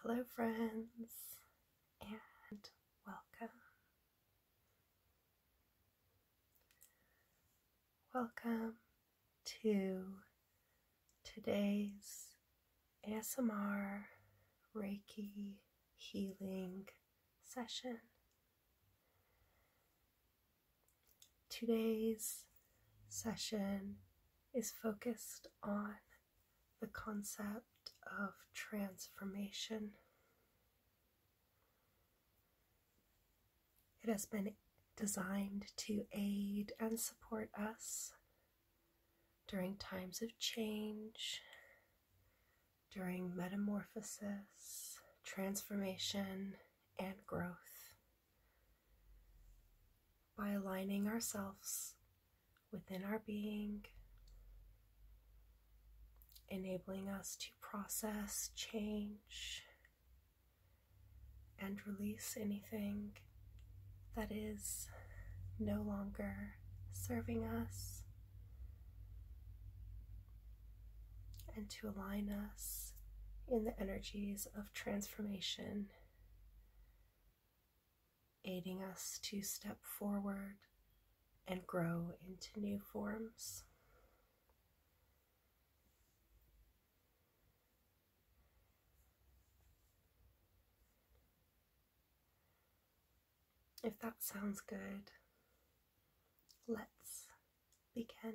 Hello, friends, and welcome. Welcome to today's ASMR Reiki healing session. Today's session is focused on the concept of transformation. It has been designed to aid and support us during times of change, during metamorphosis, transformation, and growth by aligning ourselves within our being, enabling us to process, change, and release anything that is no longer serving us, and to align us in the energies of transformation aiding us to step forward and grow into new forms. If that sounds good, let's begin.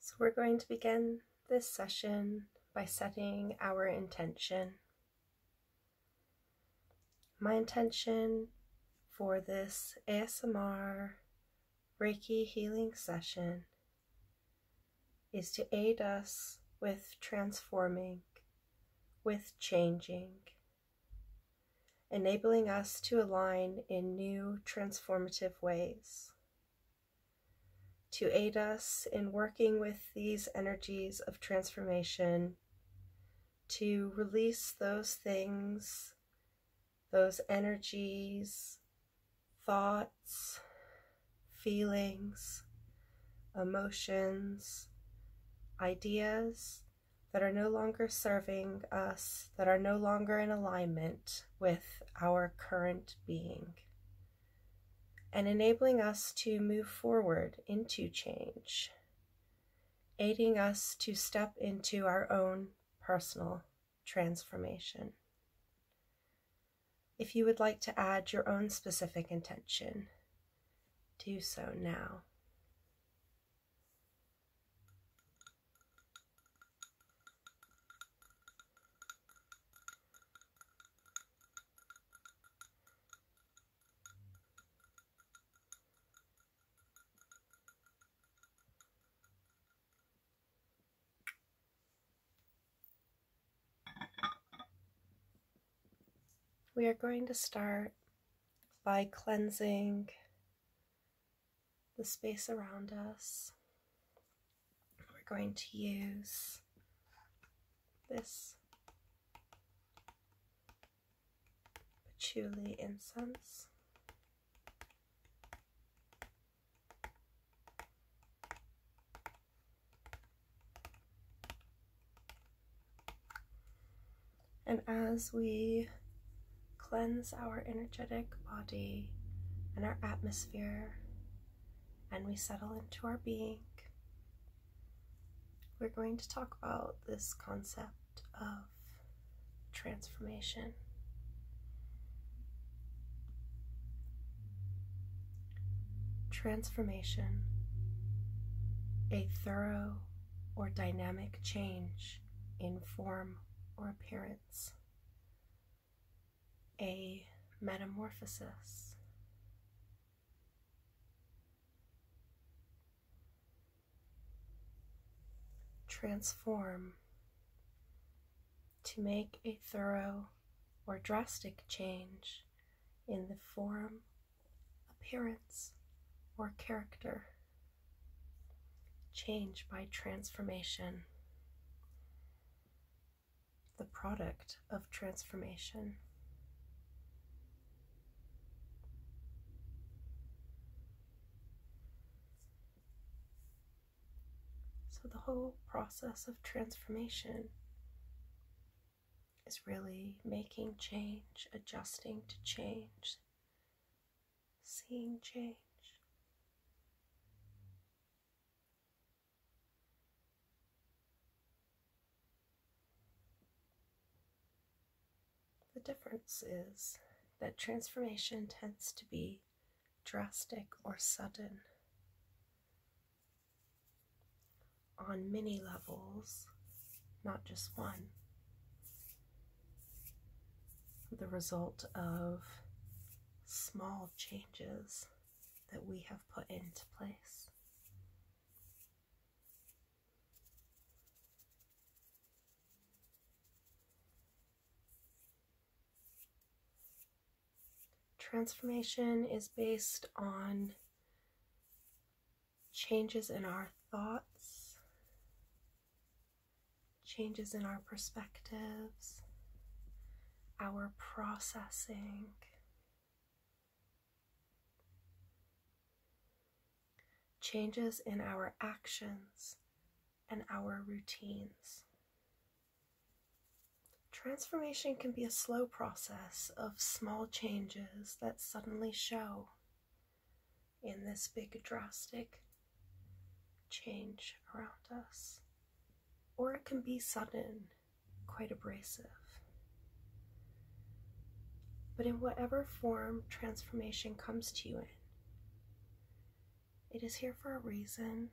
So we're going to begin this session by setting our intention. My intention for this ASMR Reiki healing session is to aid us with transforming, with changing, enabling us to align in new transformative ways to aid us in working with these energies of transformation, to release those things, those energies, thoughts, feelings, emotions, ideas that are no longer serving us, that are no longer in alignment with our current being and enabling us to move forward into change, aiding us to step into our own personal transformation. If you would like to add your own specific intention, do so now. We are going to start by cleansing the space around us. We're going to use this patchouli incense. And as we cleanse our energetic body and our atmosphere, and we settle into our being, we're going to talk about this concept of transformation. Transformation, a thorough or dynamic change in form or appearance appearance, a metamorphosis. Transform to make a thorough or drastic change in the form, appearance, or character Change by transformation. The product of transformation. So, the whole process of transformation is really making change, adjusting to change, seeing change. The difference is that transformation tends to be drastic or sudden on many levels, not just one the result of small changes that we have put into place. Transformation is based on changes in our thoughts changes in our perspectives, our processing. Changes in our actions and our routines. Transformation can be a slow process of small changes that suddenly show in this big drastic change around us. Or it can be sudden, quite abrasive. But in whatever form transformation comes to you in, it is here for a reason.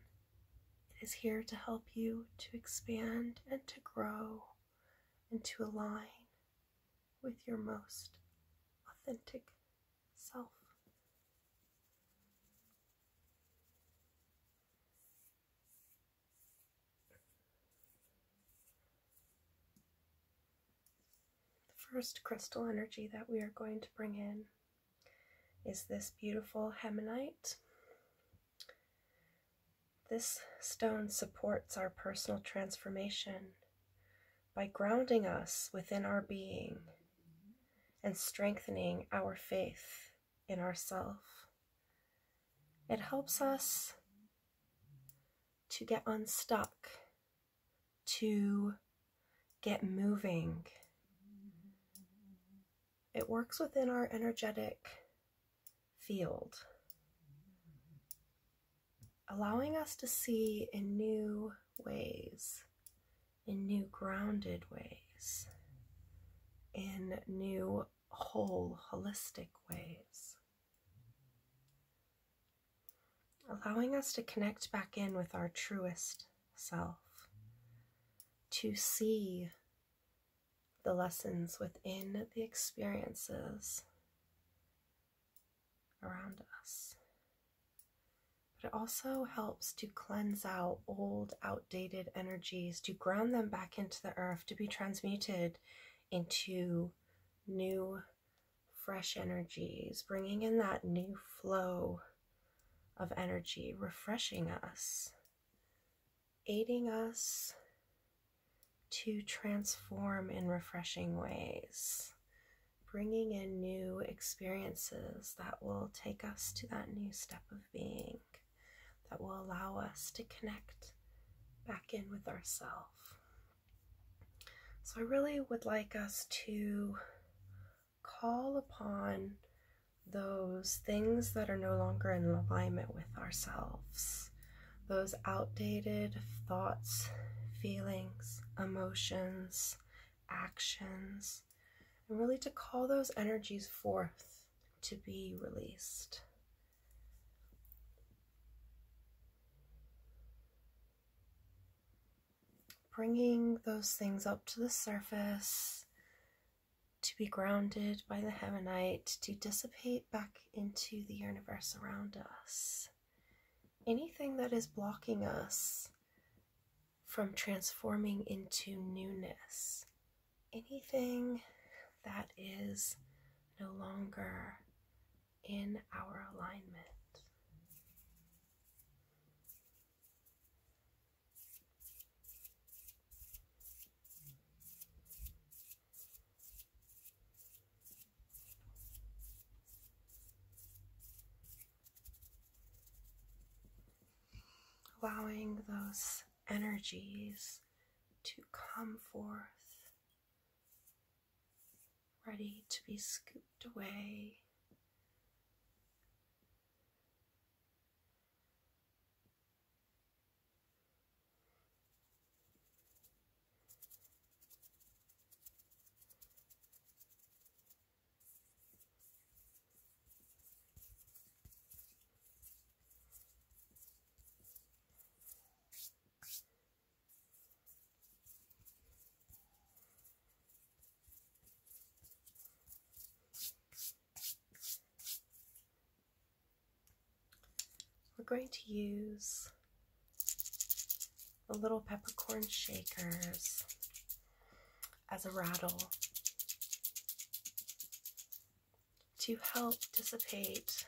It is here to help you to expand and to grow and to align with your most authentic self. The first crystal energy that we are going to bring in is this beautiful hemonite. This stone supports our personal transformation by grounding us within our being and strengthening our faith in ourself. It helps us to get unstuck, to get moving. It works within our energetic field allowing us to see in new ways, in new grounded ways, in new whole, holistic ways. Allowing us to connect back in with our truest self, to see the lessons within the experiences around us. But it also helps to cleanse out old, outdated energies, to ground them back into the earth, to be transmuted into new, fresh energies, bringing in that new flow of energy, refreshing us, aiding us to transform in refreshing ways, bringing in new experiences that will take us to that new step of being, that will allow us to connect back in with ourselves. So, I really would like us to call upon those things that are no longer in alignment with ourselves, those outdated thoughts, feelings, emotions, actions, and really to call those energies forth to be released. Bringing those things up to the surface to be grounded by the heavenite, to dissipate back into the universe around us anything that is blocking us from transforming into newness, anything that is no longer in our alignment. Allowing those energies to come forth, ready to be scooped away. We're going to use the little peppercorn shakers as a rattle to help dissipate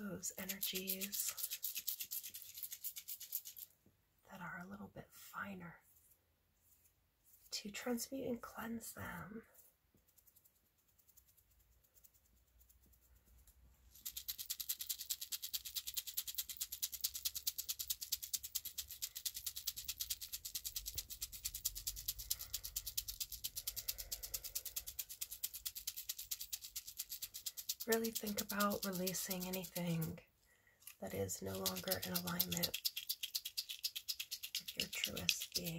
those energies that are a little bit finer to transmute and cleanse them Really think about releasing anything that is no longer in alignment with your truest being.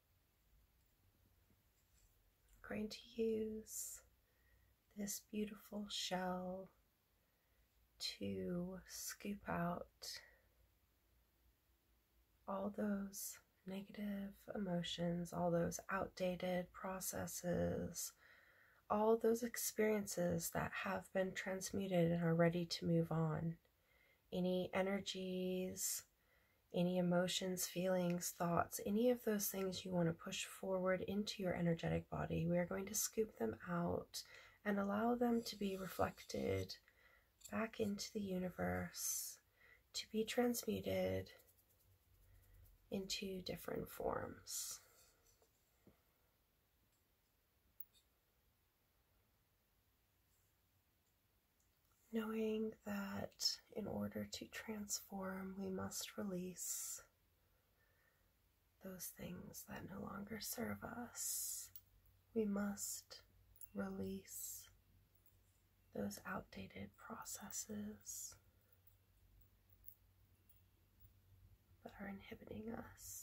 I'm going to use this beautiful shell to scoop out all those negative emotions, all those outdated processes, all those experiences that have been transmuted and are ready to move on. Any energies any emotions, feelings, thoughts, any of those things you want to push forward into your energetic body, we are going to scoop them out and allow them to be reflected back into the universe, to be transmuted into different forms knowing that in order to transform, we must release those things that no longer serve us. We must release those outdated processes that are inhibiting us.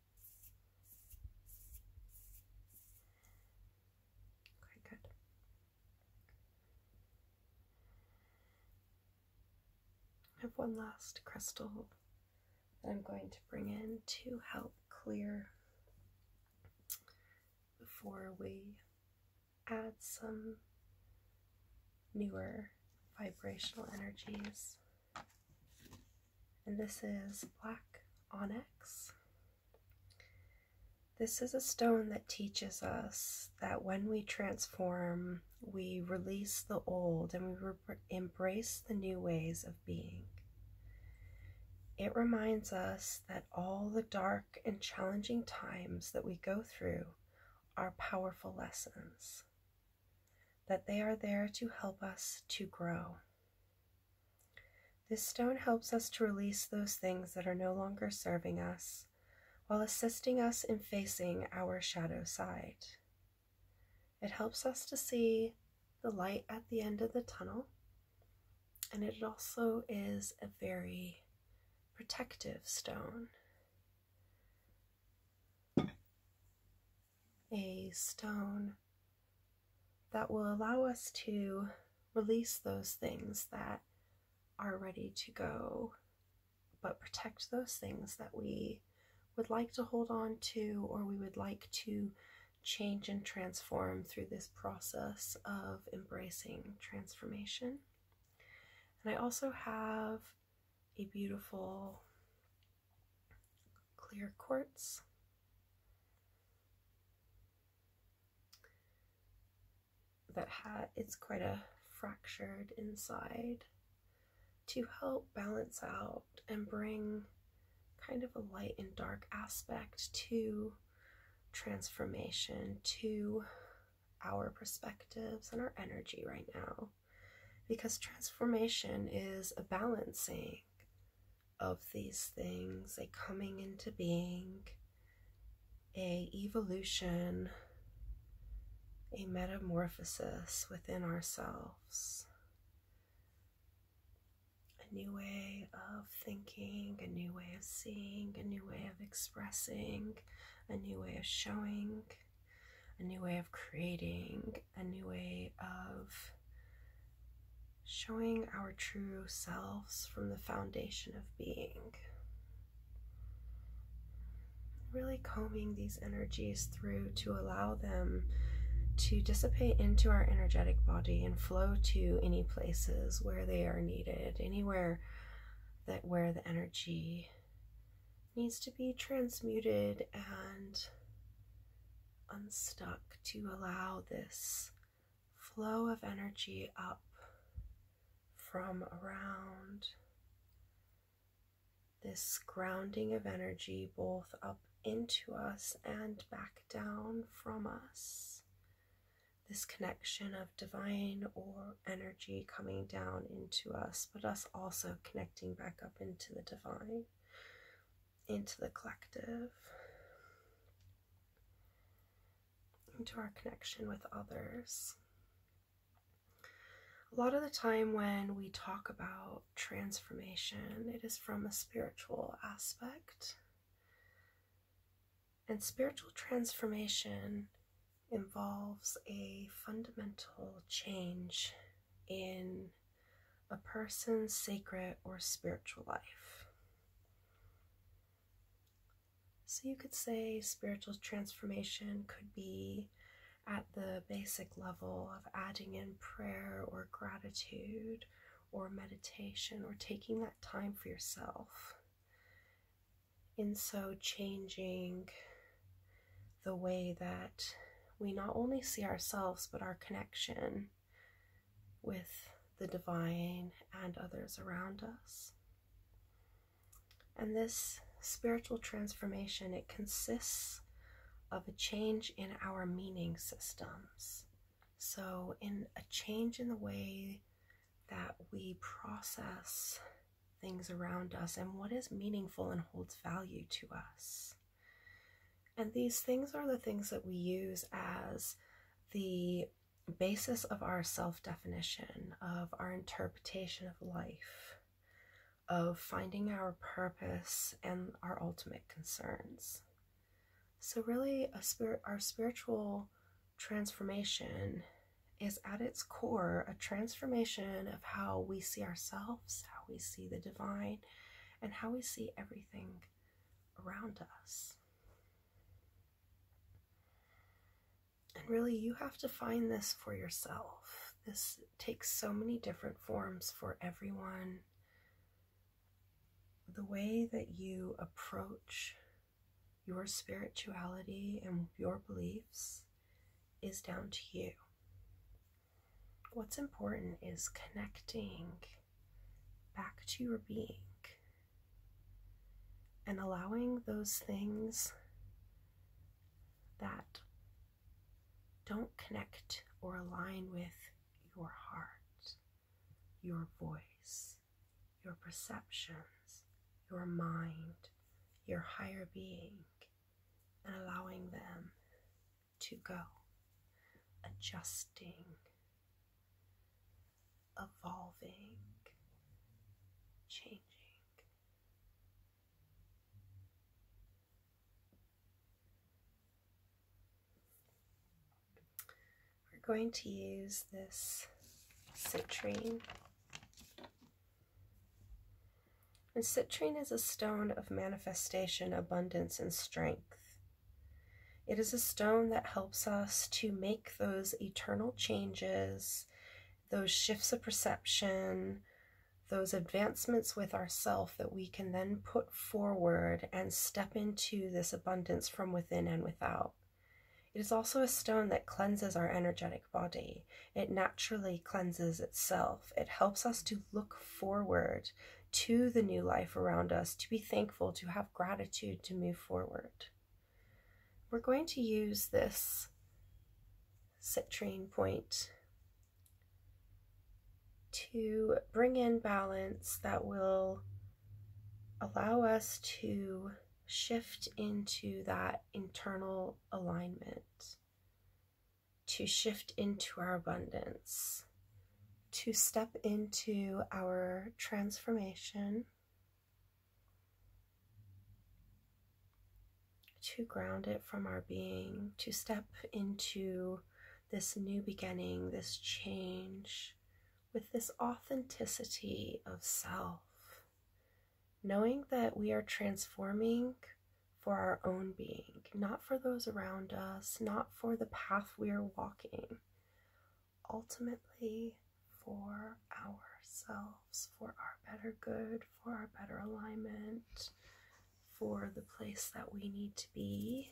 Okay, good. I have one last crystal that I'm going to bring in to help clear before we add some newer vibrational energies and this is black onyx. This is a stone that teaches us that when we transform, we release the old and we embrace the new ways of being. It reminds us that all the dark and challenging times that we go through are powerful lessons that they are there to help us to grow. This stone helps us to release those things that are no longer serving us while assisting us in facing our shadow side. It helps us to see the light at the end of the tunnel, and it also is a very protective stone a stone that will allow us to release those things that are ready to go, but protect those things that we would like to hold on to or we would like to change and transform through this process of embracing transformation. And I also have a beautiful clear quartz. That has it's quite a fractured inside to help balance out and bring kind of a light and dark aspect to transformation, to our perspectives and our energy right now because transformation is a balancing of these things a coming into being a evolution a metamorphosis within ourselves a new way of thinking a new way of seeing a new way of expressing a new way of showing a new way of creating, a new way of showing our true selves from the foundation of being. Really combing these energies through to allow them to dissipate into our energetic body and flow to any places where they are needed, anywhere that where the energy needs to be transmuted and unstuck to allow this flow of energy up from around this grounding of energy both up into us and back down from us. This connection of divine or energy coming down into us, but us also connecting back up into the divine, into the collective, into our connection with others. A lot of the time, when we talk about transformation, it is from a spiritual aspect. And spiritual transformation involves a fundamental change in a person's sacred or spiritual life. So you could say spiritual transformation could be at the basic level of adding in prayer or gratitude or meditation or taking that time for yourself. In so changing the way that we not only see ourselves but our connection with the divine and others around us. And this spiritual transformation, it consists of a change in our meaning systems. So, in a change in the way that we process things around us and what is meaningful and holds value to us. And these things are the things that we use as the basis of our self definition, of our interpretation of life, of finding our purpose and our ultimate concerns. So, really, our spiritual transformation is at its core a transformation of how we see ourselves how we see the divine, and how we see everything around us. And really, you have to find this for yourself. This takes so many different forms for everyone. The way that you approach your spirituality and your beliefs is down to you what's important is connecting back to your being and allowing those things that don't connect or align with your heart, your voice, your perceptions, your mind, your higher being and allowing them to go, adjusting, evolving, changing. We're going to use this citrine and citrine is a stone of manifestation, abundance, and strength. It is a stone that helps us to make those eternal changes, those shifts of perception, those advancements with ourself that we can then put forward and step into this abundance from within and without. It is also a stone that cleanses our energetic body. It naturally cleanses itself. It helps us to look forward to the new life around us, to be thankful, to have gratitude, to move forward. We're going to use this citrine point to bring in balance that will allow us to shift into that internal alignment to shift into our abundance, to step into our transformation, to ground it from our being, to step into this new beginning, this change, with this authenticity of self knowing that we are transforming for our own being, not for those around us, not for the path we are walking, ultimately for ourselves, for our better good, for our better alignment, for the place that we need to be.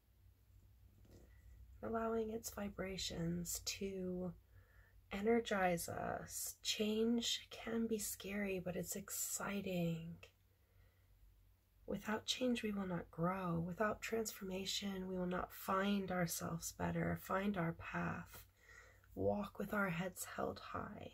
allowing its vibrations to energize us. Change can be scary, but it's exciting. Without change, we will not grow. Without transformation, we will not find ourselves better, find our path, walk with our heads held high.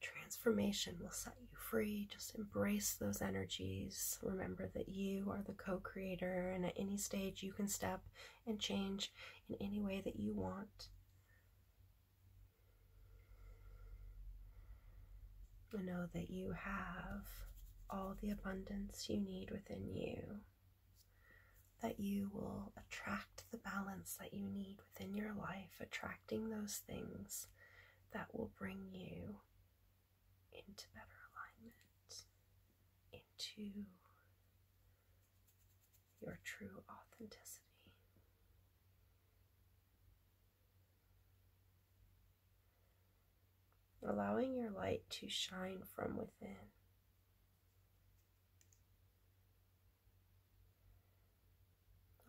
Transformation will set you free. Just embrace those energies. Remember that you are the co creator, and at any stage, you can step and change in any way that you want. I know that you have all the abundance you need within you, that you will attract the balance that you need within your life, attracting those things that will bring you into better alignment, into your true authenticity. Allowing your light to shine from within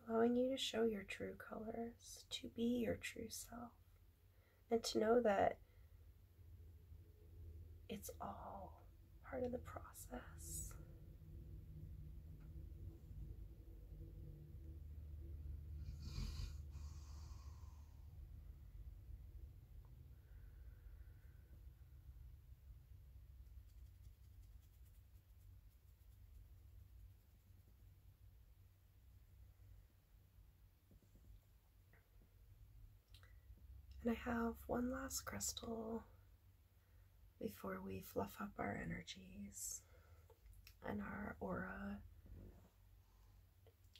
allowing you to show your true colors, to be your true self, and to know that it's all part of the process. And I have one last crystal before we fluff up our energies and our aura.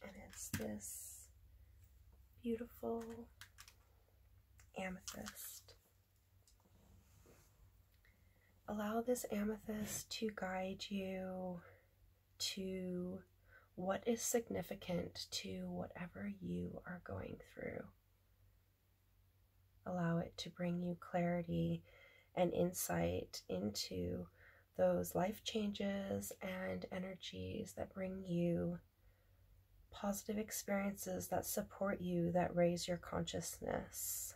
And it's this beautiful amethyst Allow this amethyst to guide you to what is significant to whatever you are going through. Allow it to bring you clarity and insight into those life changes and energies that bring you positive experiences that support you, that raise your consciousness,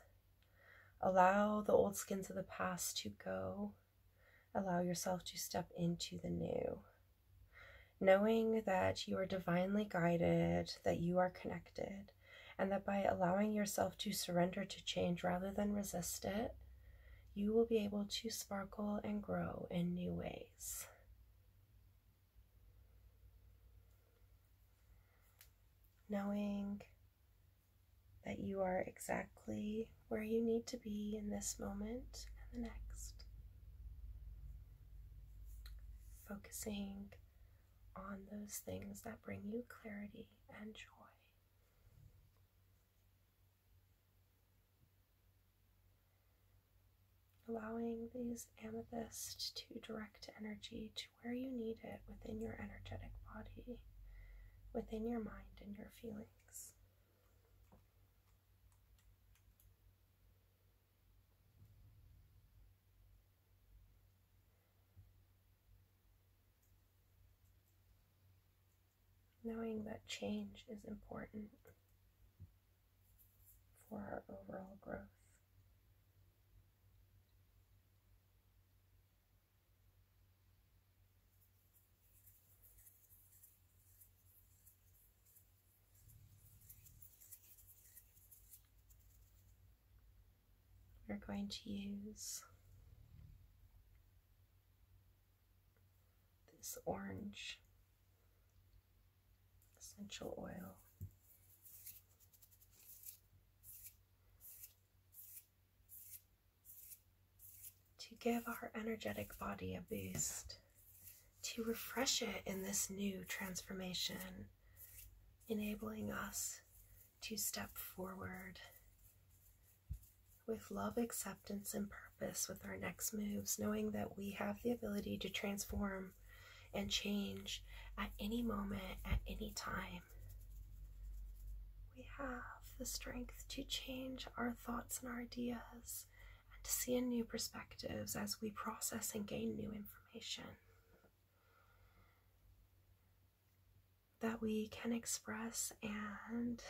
Allow the old skins of the past to go. Allow yourself to step into the new. Knowing that you are divinely guided, that you are connected, and that by allowing yourself to surrender to change rather than resist it, you will be able to sparkle and grow in new ways knowing that you are exactly where you need to be in this moment and the next. Focusing on those things that bring you clarity and joy. Allowing these amethyst to direct energy to where you need it within your energetic body, within your mind, and your feelings. Knowing that change is important for our overall growth. We're going to use this orange essential oil to give our energetic body a boost, to refresh it in this new transformation, enabling us to step forward with love, acceptance, and purpose with our next moves, knowing that we have the ability to transform and change at any moment, at any time. We have the strength to change our thoughts and our ideas and to see in new perspectives as we process and gain new information. That we can express and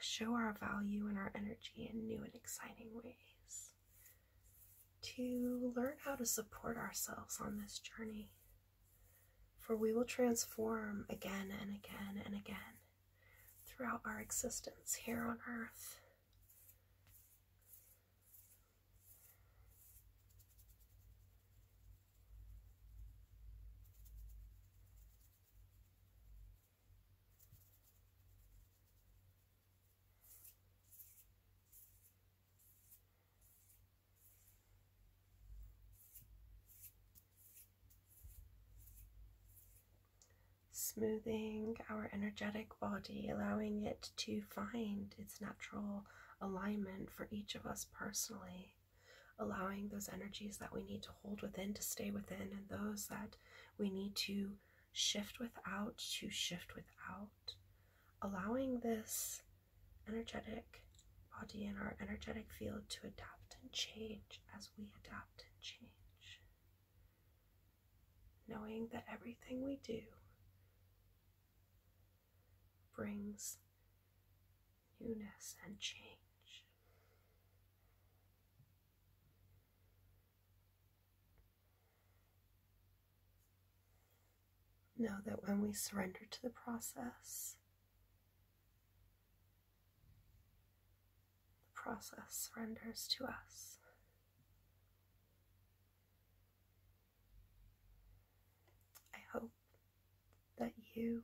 show our value and our energy in new and exciting ways to learn how to support ourselves on this journey. For we will transform again and again and again throughout our existence here on earth. Smoothing our energetic body, allowing it to find its natural alignment for each of us personally, allowing those energies that we need to hold within to stay within, and those that we need to shift without to shift without allowing this energetic body and our energetic field to adapt and change as we adapt and change. Knowing that everything we do brings newness and change. Know that when we surrender to the process, the process surrenders to us. I hope that you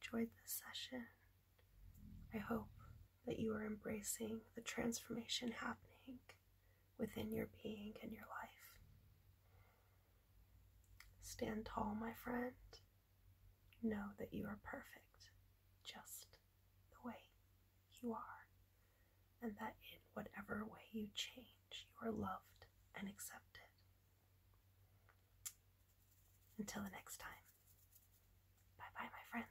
enjoyed this session. I hope that you are embracing the transformation happening within your being and your life. Stand tall, my friend. Know that you are perfect just the way you are, and that in whatever way you change, you are loved and accepted. Until the next time, bye bye, my friends.